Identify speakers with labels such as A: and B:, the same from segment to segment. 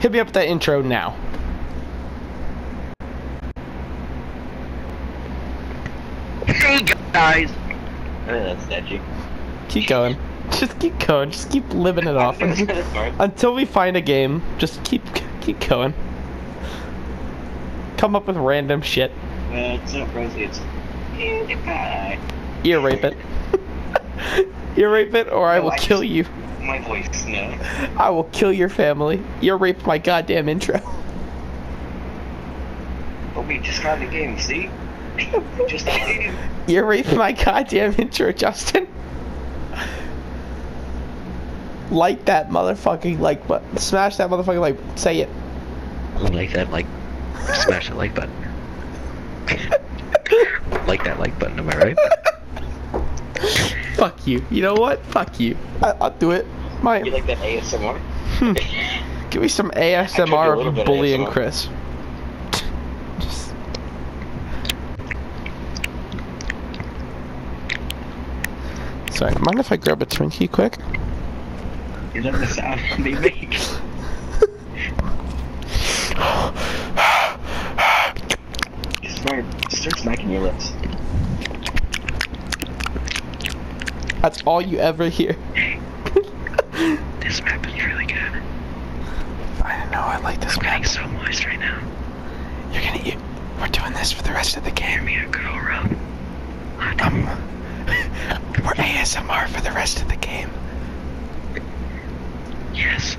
A: Hit me up with that intro now. Hey guys! I think that's Keep going. Just keep going. Just keep living it off until we find a game. Just keep keep going. Come up with random shit. it's not rosy. It's Ear rape it. you rape it, or I will kill you. My voice, no. I will kill your family. You raped my goddamn intro. But we just got the game, see? just the game. You raped my goddamn intro, Justin. Like that motherfucking like button. Smash that motherfucking like Say it. Like that like. Smash the like button. like that like button, am I right? Fuck you. You know what? Fuck you. I, will do it. My. You like that ASMR? Hmm. Give me some ASMR of bullying Chris. Sorry, mind if I grab a Twinkie quick? You love the sound they make. Start, start smacking your lips. That's all you ever hear. this map is really good. I know, I like this I'm so moist right now. You're gonna We're doing this for the rest of the game. Um, we're ASMR for the rest of the game. Yes.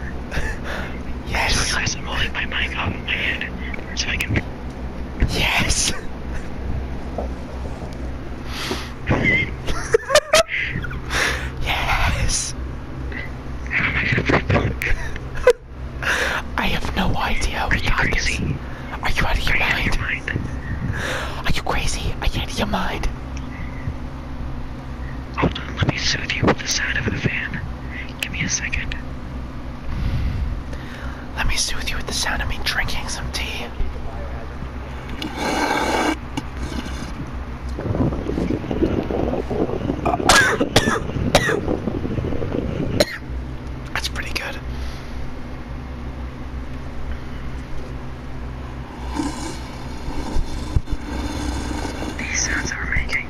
A: yes. I am holding my mic up in my hand so I can. Yes. yes. I have no idea. what We Are you crazy? Are you Out of your mind? Are you crazy? Are you out of your mind? Hold on, let me soothe you with the sound of a fan. Give me a second. Let me soothe you with the sound of me drinking some tea. That's pretty good. These sounds are making.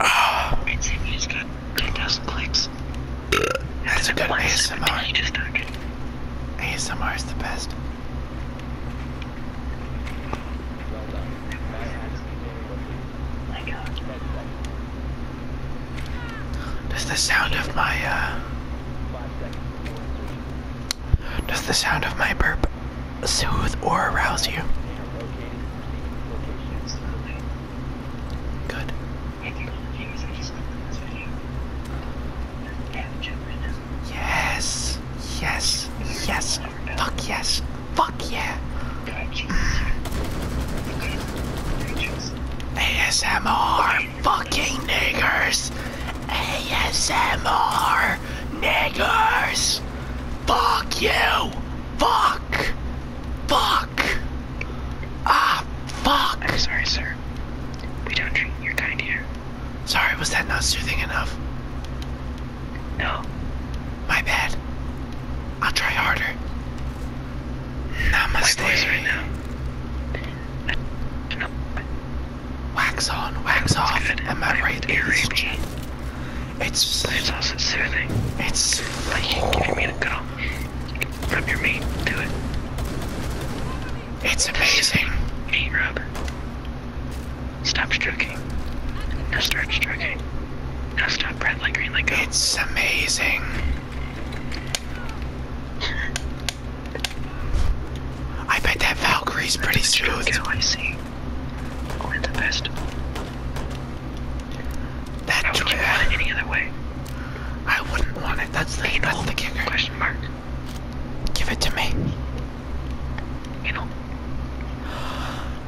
A: Oh. Ah. It's, it's got 10,000 clicks. That's a good ASMR. ASMR is the best. Does the sound of my, uh, Does the sound of my burp soothe or arouse you. Good. Yes. Yes. Yes. Fuck yes. Fuck yeah. ASMR. Fucking niggers. ASMR niggers. Fuck you. Fuck. Fuck. Ah, fuck. I'm sorry, sir. We don't treat your kind here. Sorry, was that not soothing enough? No. My bad. I'll try harder. Namaste. My voice right now. Wax on, wax off, good. and right ears. It's so also soothing. It's like you giving me the cuddle. Rub your meat, do it. It's amazing. Meat rub. Stop stroking. Now start stroking. Now stop breath like green like It's amazing. I bet that Valkyrie's pretty smooth. I see. Or the festival. That it any other way? I wouldn't want it. That's the, that's the kicker. Give it to me. You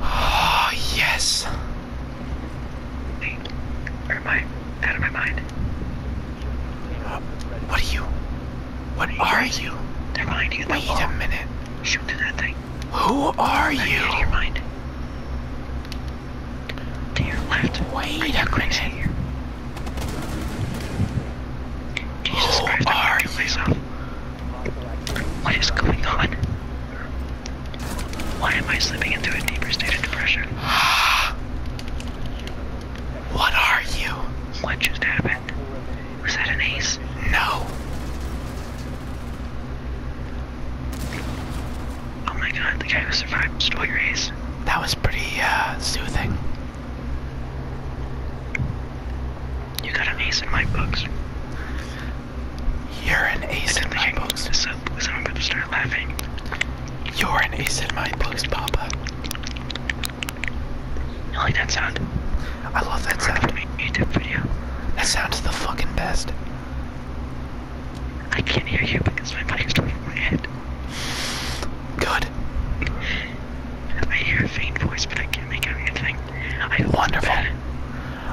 A: oh, yes. out of my mind? what are you? What are you? They're behind you. Wait a minute. Shoot to that thing. Who are Let you? in your mind. To your left. Wait right a minute. Who Christ, I'm What is going on? Why am I slipping into a deeper state of depression? What are you? What just happened? Was that an ace? No. Oh my god, the guy who survived stole your ace. That was pretty, uh, soothing. You got an ace in my books. You're an ace in my books. This up, I'm gonna start laughing. You're an ace in my books, Papa. I like that sound? I love that sound. Make YouTube video. That sound's the fucking best. I can't hear you because my mic is over my head. Good. I hear a faint voice, but I can't make out anything. I Wonderful.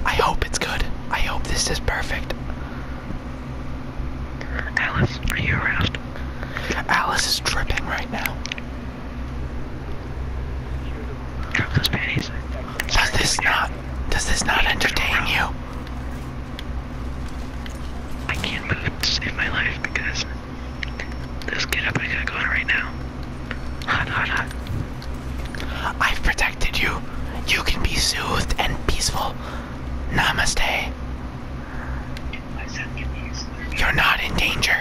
A: I hope it's good. I hope this is perfect. Alice, are you aroused? Alice is dripping right now. Those panties. Does this not? Does this not entertain you? I can't move to save my life because this get up I got going right now. Hot, hot, hot. I've protected you. You can be soothed and peaceful. Namaste. You're not in danger.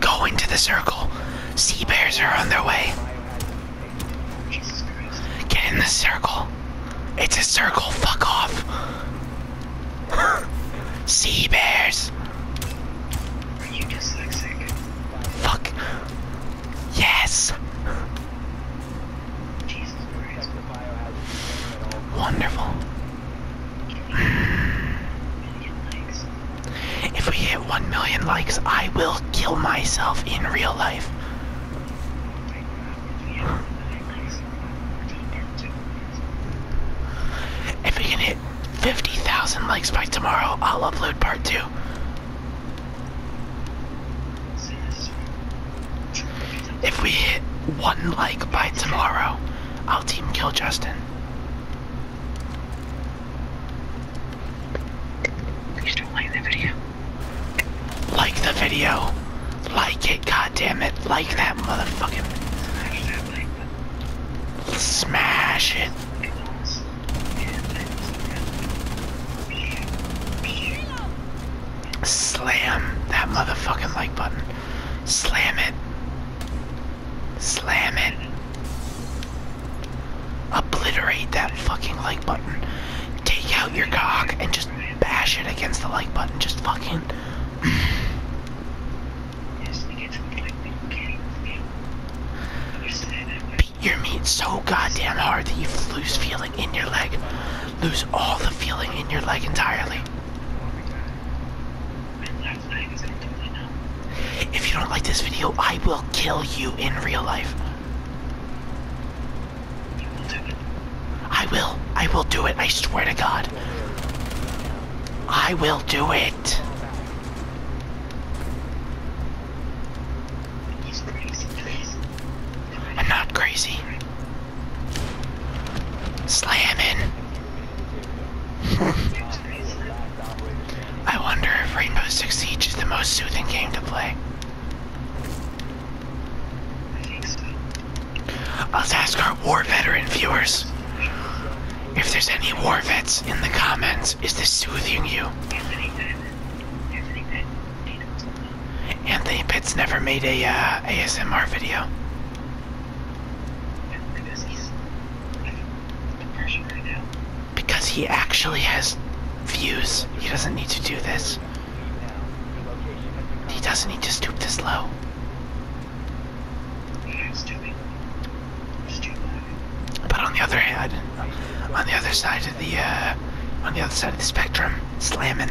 A: Go into the circle. Sea bears are on their way. Get in the circle. It's a circle. Fuck off. sea bears. Fuck. Yes. Wonderful. If we hit 1 million likes, I will kill myself in real life. If we can hit 50,000 likes by tomorrow, I'll upload part 2. If we hit 1 like by tomorrow, I'll team kill Justin. Please don't like the video. Like the video. Like it, goddammit. Like that motherfucking. Smash it. Slam that motherfucking like button. Slam it. Slam it. Obliterate that fucking like button. Take out your cock and just bash it against the like button. Just fucking. Beat your meat so goddamn hard that you lose feeling in your leg. Lose all the feeling in your leg entirely. If you don't like this video, I will kill you in real life. I will. I will do it. I swear to God. I will do it. I'm not crazy. Slamming. I wonder if Rainbow Six Siege is the most soothing game to play. Let's ask our war veteran viewers. If there's any war vets in the comments, is this soothing you? Anthony Pitts never made a uh, ASMR video. Because he actually has views. He doesn't need to do this. He doesn't need to stoop this low. But on the other hand, on the other side of the uh, on the other side of the spectrum, slamming.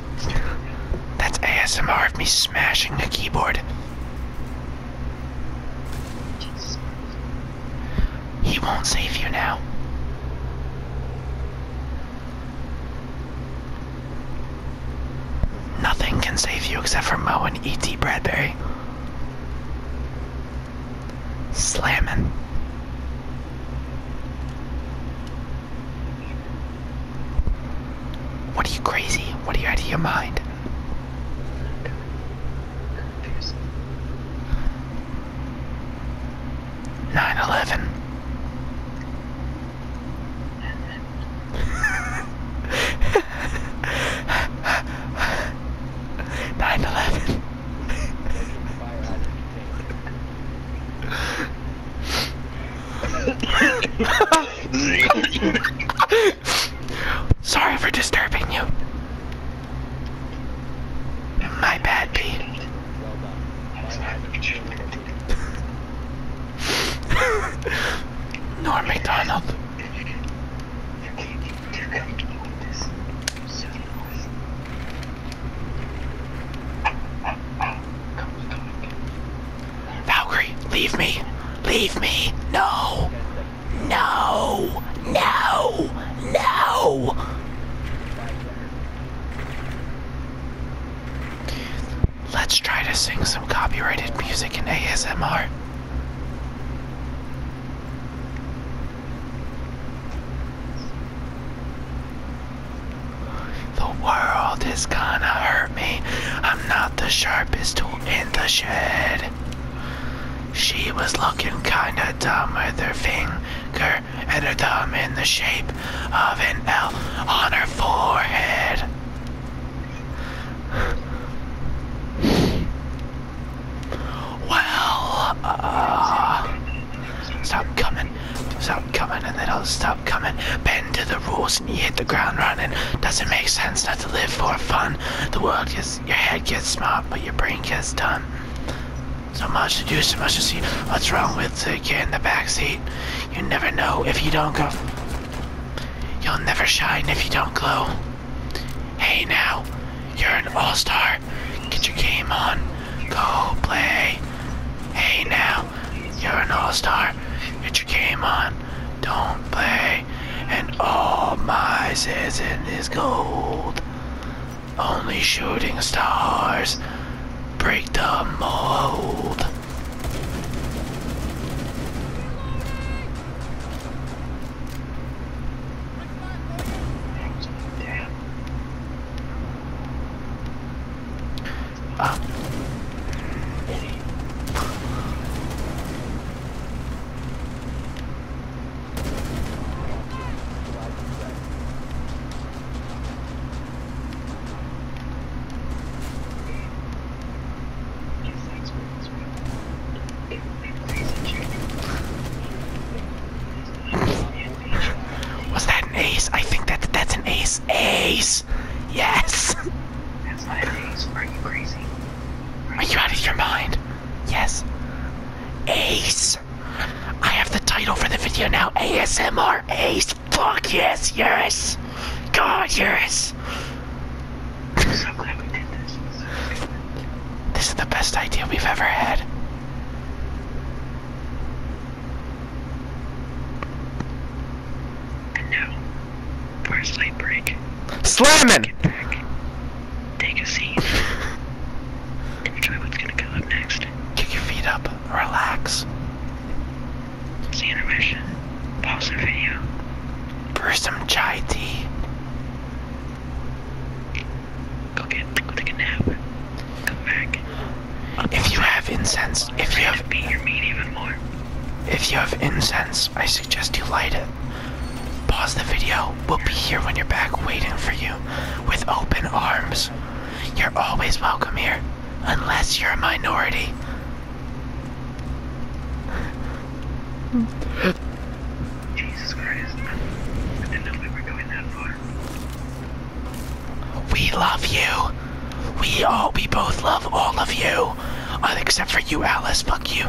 A: That's ASMR of me smashing the keyboard. He won't save you now. Nothing can save you except for Mo and E.T. Bradbury. Slamming. What are you crazy? What are you out of your mind? Nine eleven. Nine eleven. Sorry for disturbing you. My bad, P. Norm McDonald. Valkyrie, leave me. Leave me. No. No. No. No. Let's try to sing some copyrighted music in ASMR. The world is gonna hurt me. I'm not the sharpest tool in the shed. She was looking kinda dumb with her finger and her thumb in the shape of an L on her forehead. Well, uh, stop coming stop coming and then I'll stop coming. Bend to the rules and you hit the ground running. Doesn't make sense not to live for fun. The world gets, your head gets smart, but your brain gets done. So much to do, so much to see. What's wrong with the kid in the back seat? You never know if you don't go. You'll never shine if you don't glow. Hey now, you're an all-star. Get your game on. Go play. Hey now, you're an all-star. Get your game on. Don't play. And all my season is gold. Only shooting stars break the mold. Ah. What's that? ace? I think that that's an ace. Ace! Yes! That's not an ace. Are you crazy? Are you out of your mind? Yes. Ace! I have the title for the video now. ASMR Ace! Fuck yes, yes! God, yes! I'm glad we did this. this is the best idea we've ever had. And now, for a break. Slamming! take a seat, enjoy what's gonna come up next. Kick your feet up, relax. It's the intermission. Pause the video. Brew some chai tea. Go get, go take Come back. If you have incense, if you have meat, even more. If you have incense, I suggest you light it. Pause the video. We'll be here when you're back waiting for you with open arms. You're always welcome here, unless you're a minority. Jesus Christ. I didn't know we were going that far. We love you. We all, we both love all of you. Uh, except for you, Alice. Fuck you.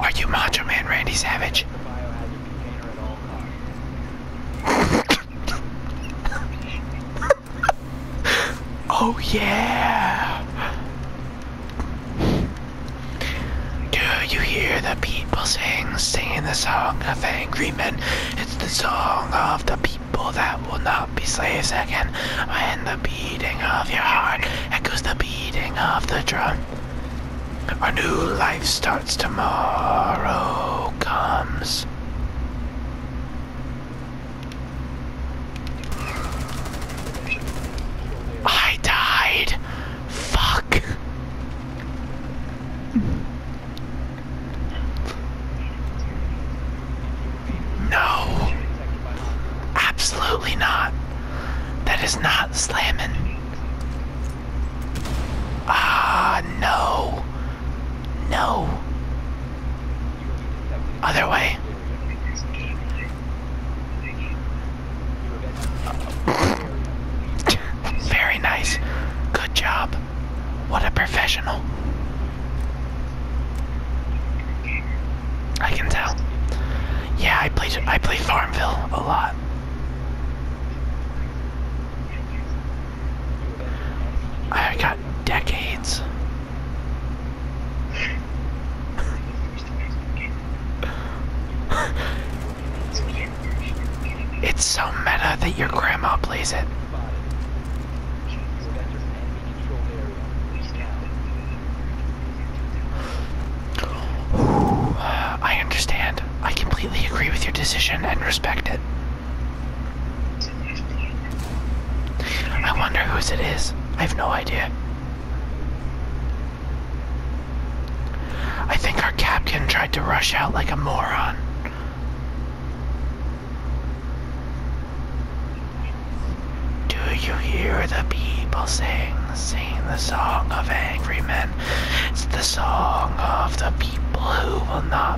A: Are you Macho Randy Savage? oh yeah! Do you hear the people sing, singing the song of angry men? It's the song of the people that will not be slaves again. When the beating of your heart echoes the beating of the drum. Our new life starts tomorrow comes. I died. Fuck. No. Absolutely not. That is not slamming. Ah, no. No. Other way. Very nice. Good job. What a professional. I can tell. Yeah, I play I played Farmville a lot. I got decades. it's so meta that your grandma plays it. I understand. I completely agree with your decision and respect it. I wonder whose it is. I have no idea. I think our captain tried to rush out like a moron. Do you hear the people sing? Sing the song of angry men. It's the song of the people who will not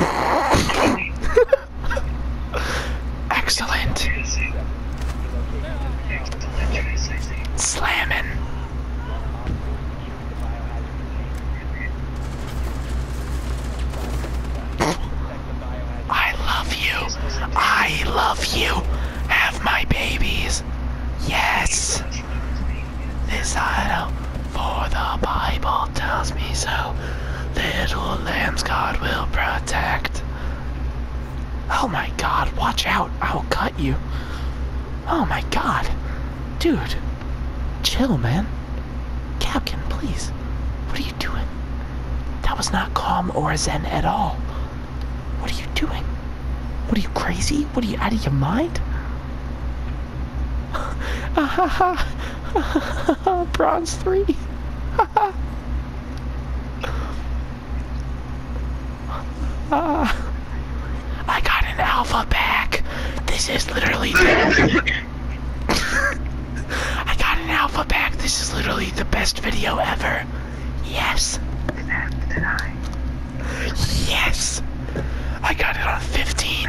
A: Excellent. Slamming. I love you. I love you. Have my babies. Yes. This idol, for the Bible tells me so. Little lambs God will protect. Oh my god, watch out, I'll cut you. Oh my god. Dude, chill, man. Capkin, please. What are you doing? That was not calm or zen at all. What are you doing? What are you crazy? What are you out of your mind? Bronze three. uh, I got an alpha back. This is literally. I got an alpha back. This is literally the best video ever. Yes. Yes. I got it on 15.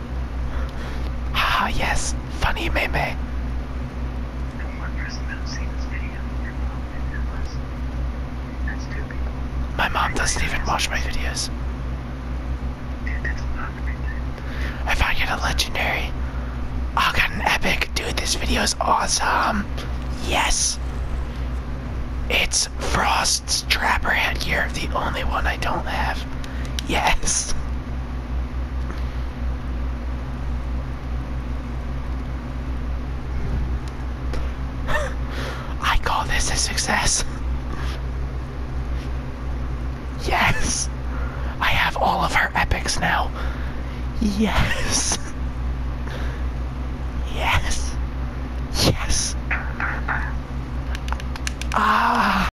A: Haha, yes, funny meme. My mom doesn't even watch my videos. If I get a legendary, i got an epic. Dude, this video is awesome. Yes. It's Frost's Trapper headgear, the only one I don't have. Yes. I call this a success. Yes! I have all of her epics now. Yes! Yes! Yes! Ah!